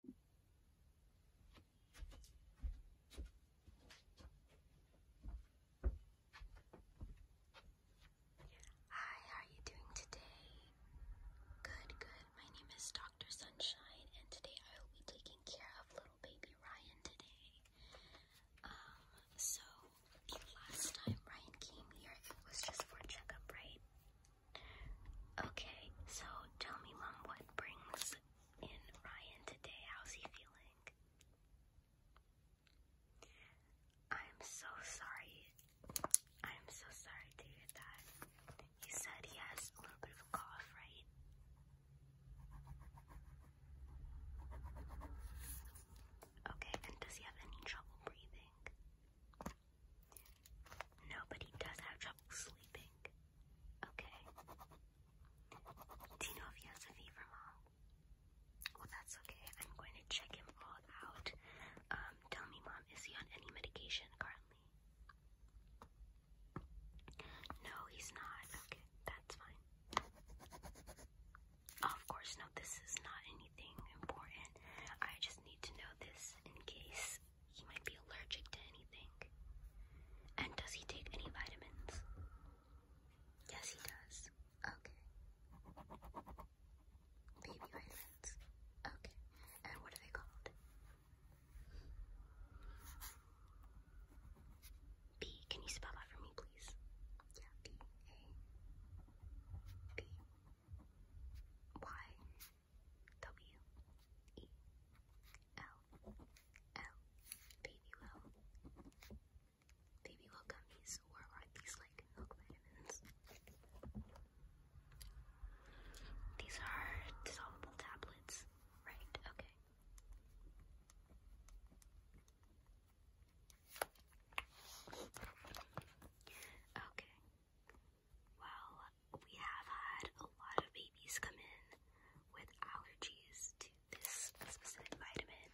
Hi, how are you doing today? Good, good. My name is Dr. Sunshine, and today I will be taking care of little baby Ryan today. Um, so the last time Ryan came here, was just for checkup, right? Okay, so tell me, Mom, what brings in Ryan today? How's he feeling? I'm so sorry. I'm so sorry to hear that. You said he has a little bit of a cough, right? Okay, and does he have any trouble breathing? No, he does have trouble sleeping. Okay. Do you know if he has a fever, Mom? Well, that's okay. I'm going to check him all out. Um, tell me, Mom, is he on any medication currently? No, he's not. Okay, that's fine. Of course, no, this is not anything important. I just need to know this in case he might be allergic to anything. And does he take any vitamins? Yes, he does. Okay. Baby vitamins. Okay. And what are they called? B. Can you spell that for me, please? Yeah, B. A. B. Y. W E L L baby well baby are these like vitamins? These are dissolvable tablets, right? Okay. Okay. Well, we have had a lot of babies come in with allergies to this specific vitamin,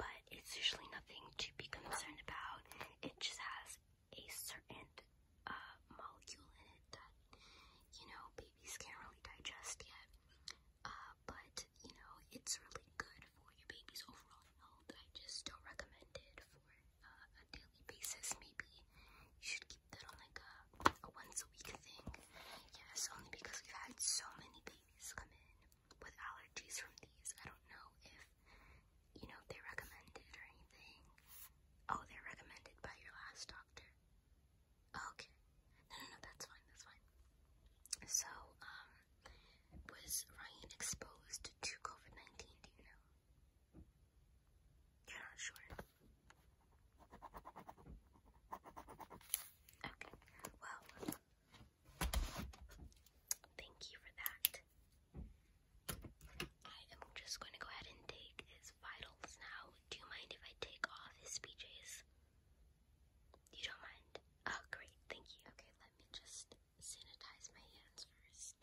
but it's usually nothing to be concerned about. It just has a certain uh, molecule in it that, you know, babies can't really digest yet. Uh, but, you know, it's really good for your baby's overall health. I just don't recommend it for uh, a daily basis, maybe you should keep that on like a, a once a week thing. Yes, only because we've had so many babies come in with allergies from these. I don't know if, you know, if they recommend it or anything. Oh, they're recommended by your last doctor. Oh, okay. No, no, no, that's fine, that's fine. So, um, was Ryan exposed to COVID-19, do you know? You're not sure. Okay, well, thank you for that. I am just going to go ahead and take his vitals now. Do you mind if I take off his PJs? You don't mind? Oh, great, thank you. Okay, let me just sanitize my hands first.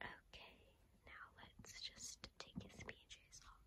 Okay, now let's just take his PJs off.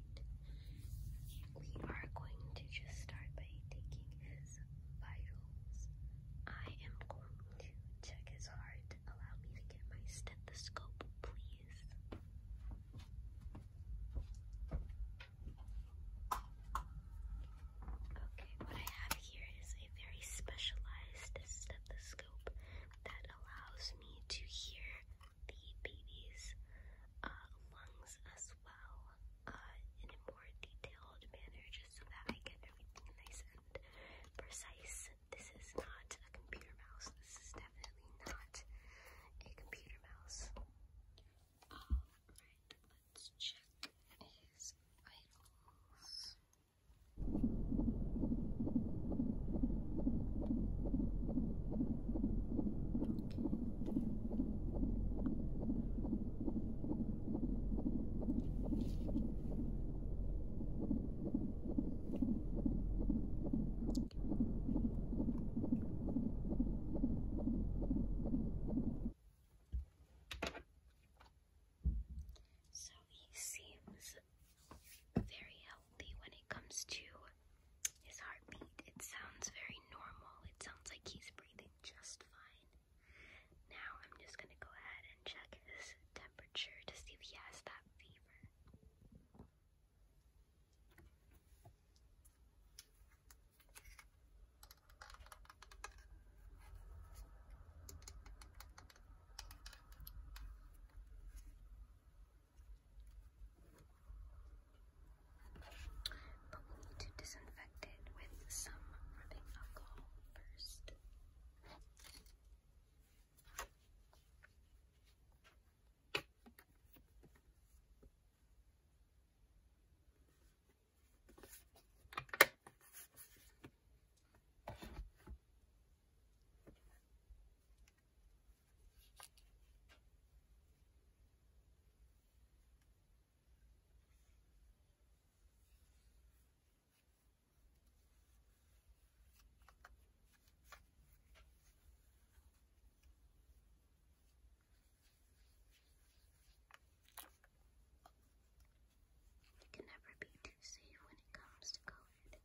We are going to just start by taking his vitals. I am going to check his heart. Allow me to get my stethoscope, please. Okay, what I have here is a very specialized stethoscope that allows me to hear the baby's uh, lungs as well uh, in a more detailed manner just so that I get everything nice and precise. This is not a computer mouse. This is definitely not a computer mouse. Alright, let's check his vitals. So he seems very healthy when it comes to his heartbeat. It sounds very normal. It sounds like he's breathing just fine. Now I'm just gonna go ahead and check his temperature to see if he has that fever. But we'll need to disinfect it with some rubbing alcohol first. You can never be too safe when it comes to COVID.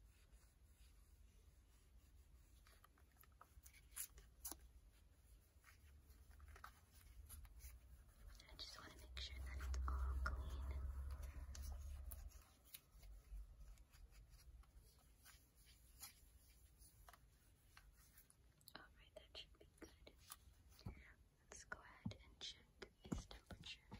I just want to make sure that it's all clean. Alright, that should be good. Let's go ahead and check its temperature.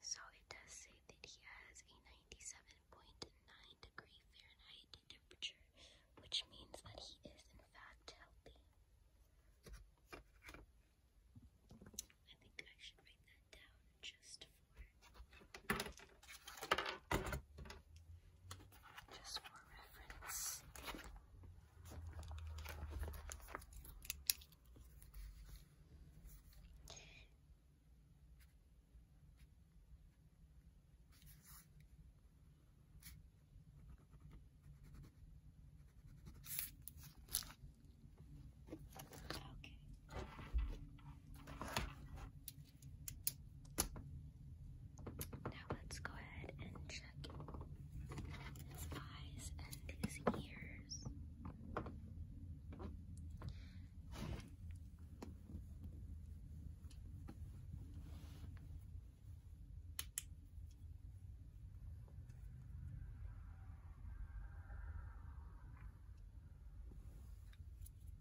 So it does say that he has a 97.9 degree Fahrenheit temperature, which means that he is in fact healthy. I think I should write that down just just for reference. Okay. Now let's go ahead and check his eyes and his ears.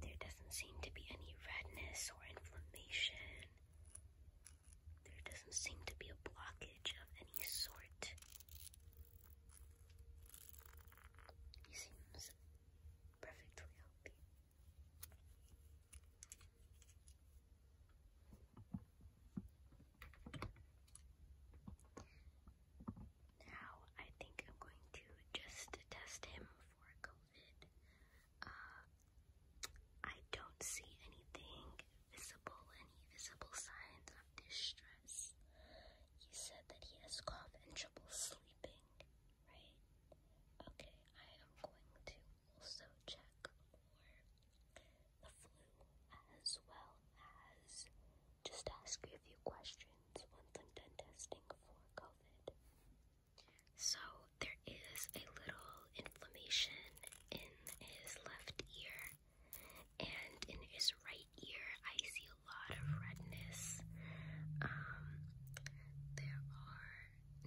There doesn't seem to be any redness or inflammation. There doesn't seem to be a blockage of any sort. He seems perfectly healthy. Now I think I'm going to just test him for COVID. Uh, I don't see anything visible, any visible signs of distress. He said that he has cough and trouble sleeping, right? Okay, I am going to also check for the flu as well as just ask you a few questions once I'm done testing for COVID. So there is a little inflammation in his left ear, and in his right ear, I see a lot of redness. Um, there are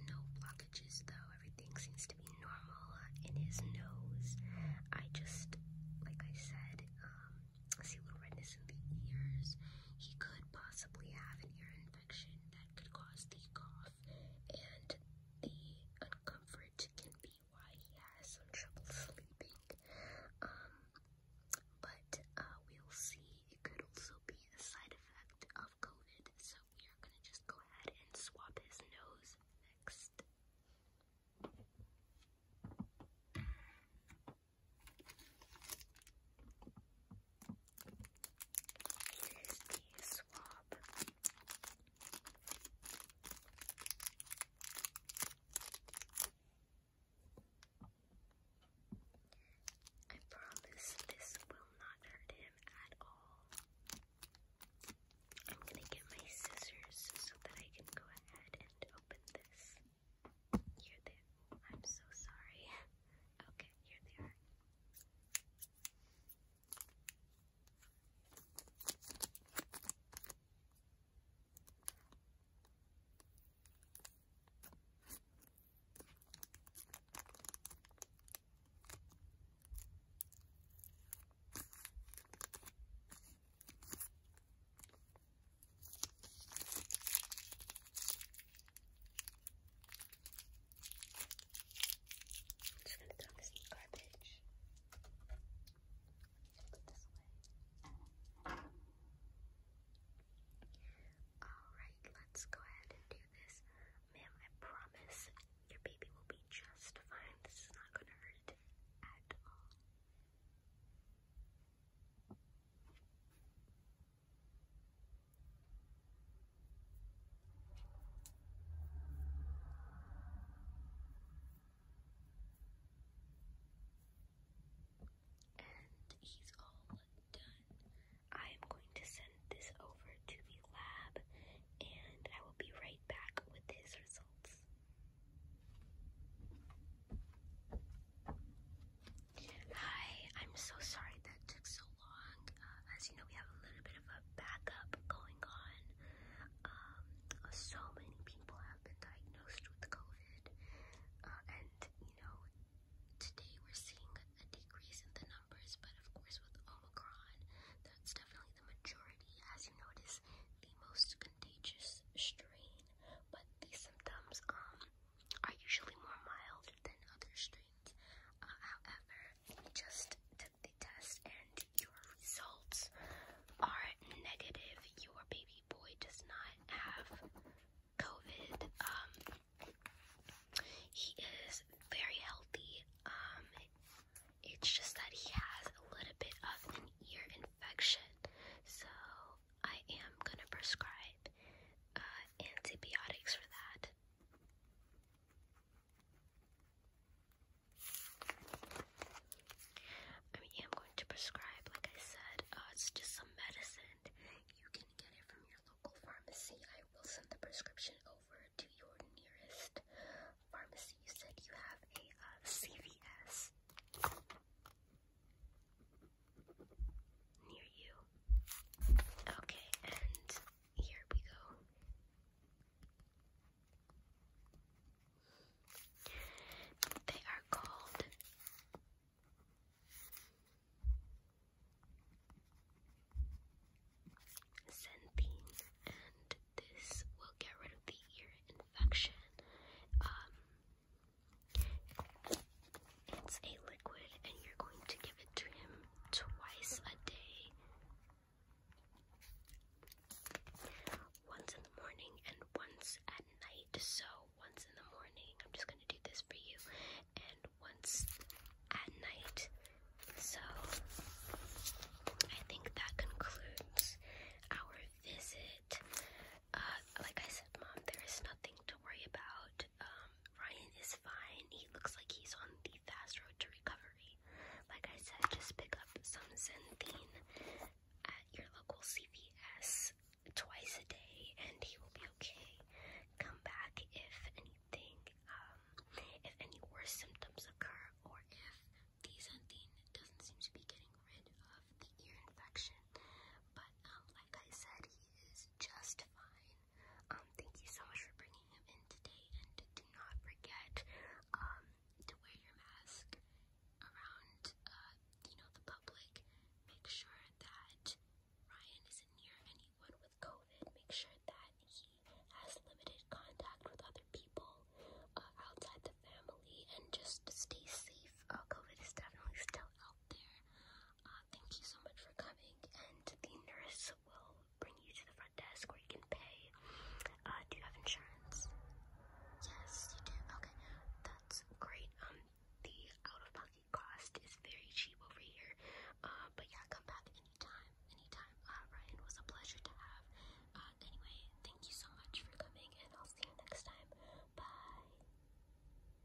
no blockages though, everything seems to be normal in his nose. I just, like I said, I um, see a little redness in the ears. He could possibly have an ear infection could cause the cough, and the discomfort can be why he has some trouble sleeping. Um, but uh, we'll see. It could also be a side effect of COVID, so we are gonna just go ahead and swap his nose next. Here's the swab. I promise this will not hurt him at all. I'm gonna get my scissors so that I can go ahead and open this. Here they I'm so sorry. Okay, here they are. I'm just gonna throw this in the garbage. Alright, let's go ahead and do this. Ma'am, I promise your baby will be just fine. This is not gonna hurt at all. And he's all done. I am going to send this over to the lab and I will be right back with his results. Hi, I'm so sorry that took so long. Uh, as you know, we have a little bit of a backup going on. Um, so many people have been diagnosed with COVID, uh, and you know, today we're seeing a decrease in the numbers, but of course, with Omicron, that's definitely the majority. As you notice, the most contagious strain, but the symptoms, um, are usually more mild than other strains. Uh, however, we just took the test and your results are negative. Your baby boy does not have COVID. Um, he is very healthy. Um, it's just that he has a little bit of an ear infection. So I am gonna prescribe uh, antibiotics for that. I am going to prescribe, like I said, uh, it's just some medicine. You can get it from your local pharmacy. I will send the prescription over to your nearest pharmacy. You said you have a uh, CVS near you. Okay, and here we go. They are called Xanthine, and this will get rid of the ear infection. Um, it's a liquid, and you're going to give it to him twice a day. Once in the morning and once at night. So, once in the morning, I'm just going to do this for you, and once at night. So, I think that concludes our visit. Uh, like I said, Mom, there is nothing to worry about. Um, Ryan is fine. He looks like he's on the fast road to recovery. Like I said, just pick up some Zenthine at your local CVS twice a day, and he will be okay. Come back if anything, um, if any worse symptoms occur, or if the Zenthine doesn't seem to be getting rid of the ear infection. But um, like I said, he is just fine. Um, thank you so much for bringing him in today, and do not forget um, to wear your mask around, uh, you know, the public. Make sure that Ryan isn't near anyone with COVID. Make sure that he has limited contact with other people uh, outside the family, and just stay safe. Uh, COVID is definitely still out there. Uh, thank you so much for coming, and the nurse will bring you to the front desk where you can pay. Uh, do you have insurance? Yes, you do. Okay, that's great. Um, the out-of-pocket cost is very cheap over here. Uh, but yeah, come back anytime, anytime. Uh, Ryan was a pleasure to have. Uh, anyway, thank you so much for coming, and I'll see you next time. Bye.